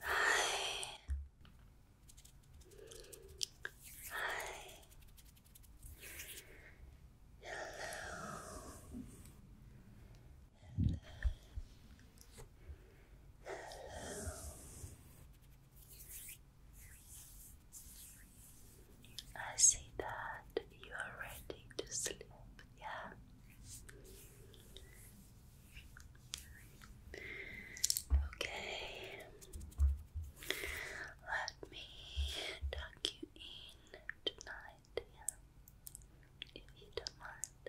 Hi. Hi. Hello. Hello. I see that you are ready to sleep. Yeah. Okay. Let me tuck you in tonight, If you don't mind.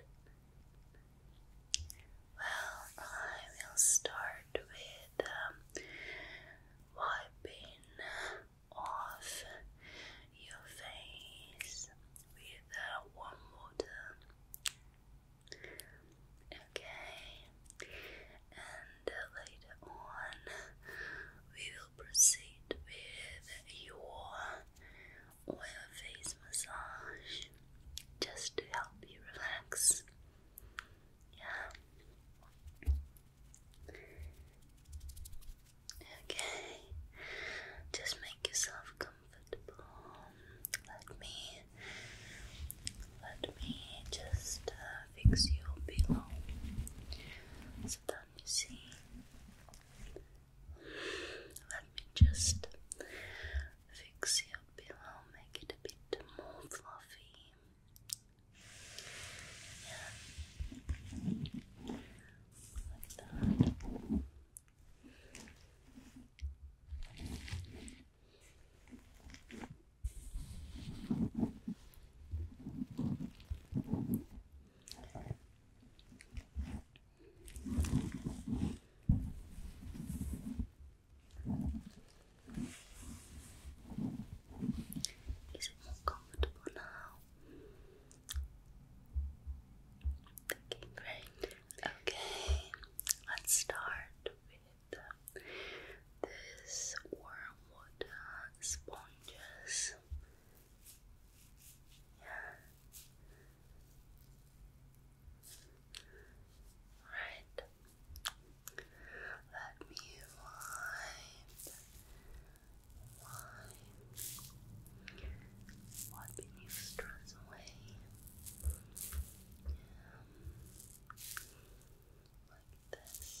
Well, I will start with um, wiping off your face with uh, warm water. Okay, and uh, later on we will proceed with your oil face massage just to help you relax. Yeah. Okay, just make yourself comfortable. Let me, let me just uh, fix your pillow so that you see. Let me just fix your pillow, make it a bit more fluffy. Like that. Is it more comfortable now? Thinking great. Okay, let's start with uh, this sponges. Yeah. Right. Let me wipe, wiping you stress away. like this.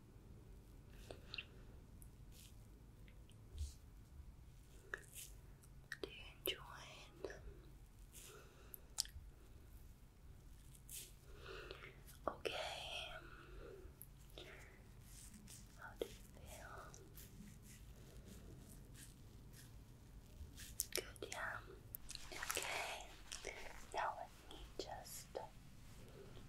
Do you enjoy it? Okay. How do you feel? Good, yeah. Okay. Now let me just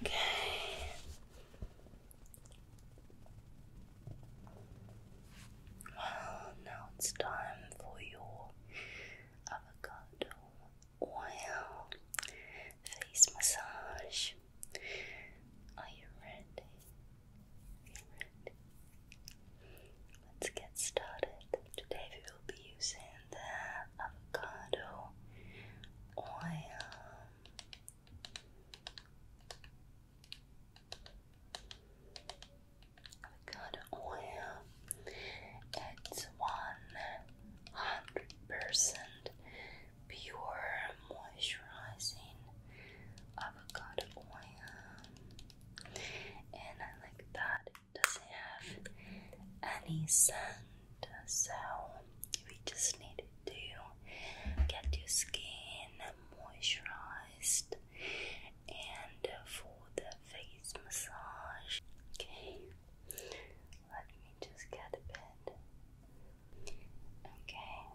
Okay. Well, now it's time for your avocado oil face massage. Are you ready? Let's get started. Today we will be using the avocado oil. Avocado oil. It's one hundred percent pure moisturizing avocado oil, and I like that does it have any sand so we just need to get your skin moisturized and for the face massage okay let me just get a bit Okay.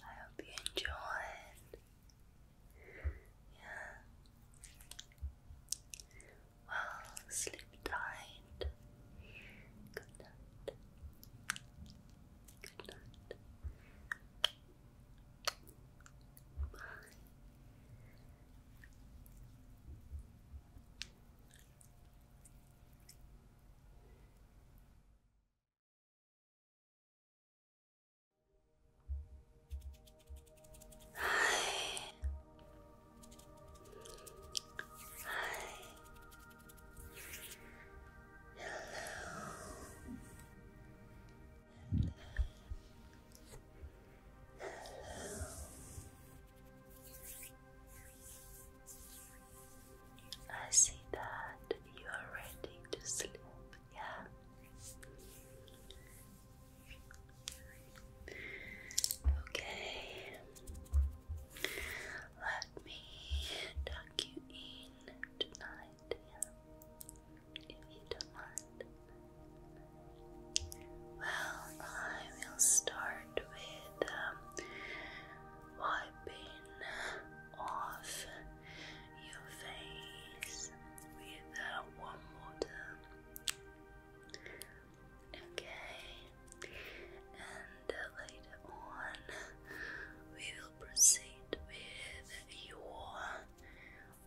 I hope you enjoyed yeah. Well, sleep tight. Good night. Good night. Bye. Hi. Hi. Hello. I see that you are ready to sleep, yeah? Okay, let me tuck you in tonight, if you don't mind. Well, I will start with um, wiping off your face with warm uh, water. Okay, and uh, later on we will proceed with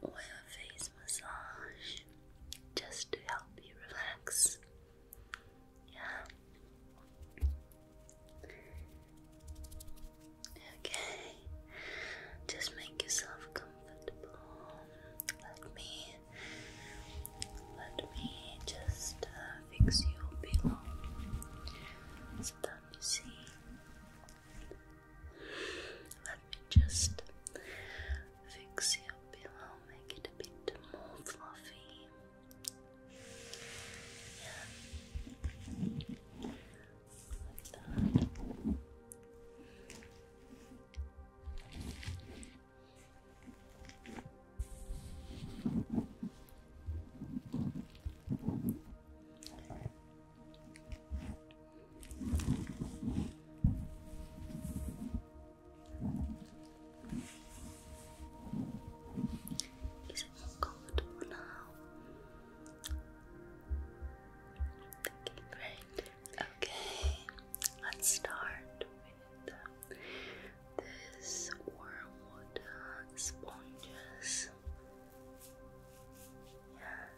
your face massage just to help you relax. Yeah. Okay, just make yourself comfortable. Let me, let me just uh, fix your pillow so that you see. Let me just fix your pillow, make it a bit more fluffy. Yeah like that. Is it more comfortable now? Okay, let's start with this wormwood uh, sponges. Yeah.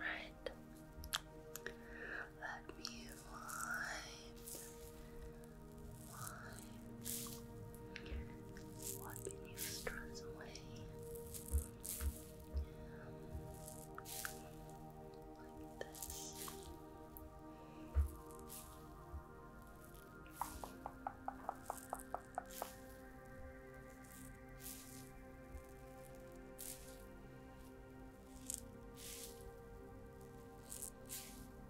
Right. Let me wipe why? Wiping your stress away. Like this. Good.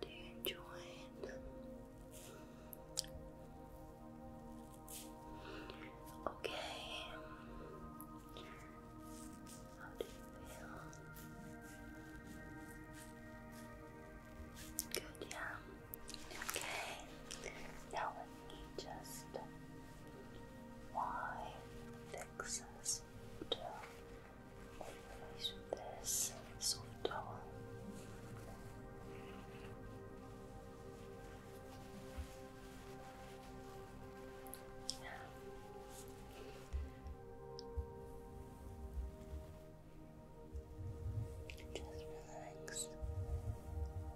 Do you enjoy it? Okay. How do you feel? Good, yeah. Okay. Now let me just why Texas this soft tower. Just relax.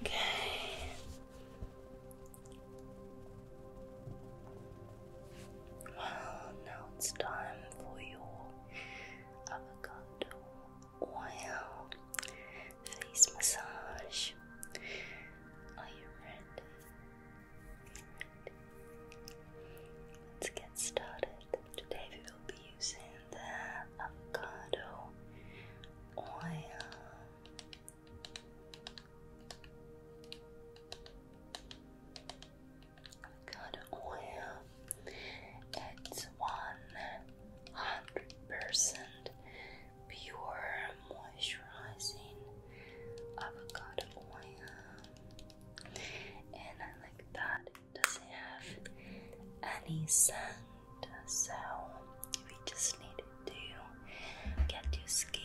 Okay. Well, now it's time for your avocado oil face massage. Are you ready? Let's get started. Today we will be using the avocado oil. Avocado oil. It's one hundred percent pure moisturizing avocado oil, and I like that does have any scent, so we just need to get your skin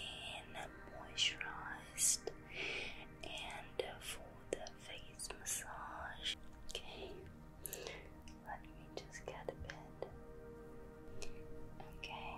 moisturized and for the face massage. Okay, let me just get a bit. Okay.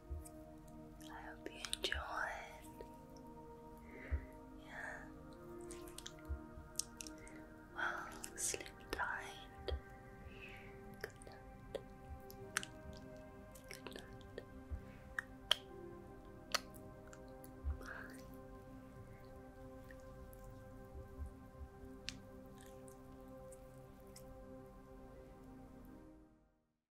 I hope you enjoy. Yeah. Well, sleep tight. Good night. Good night. Bye.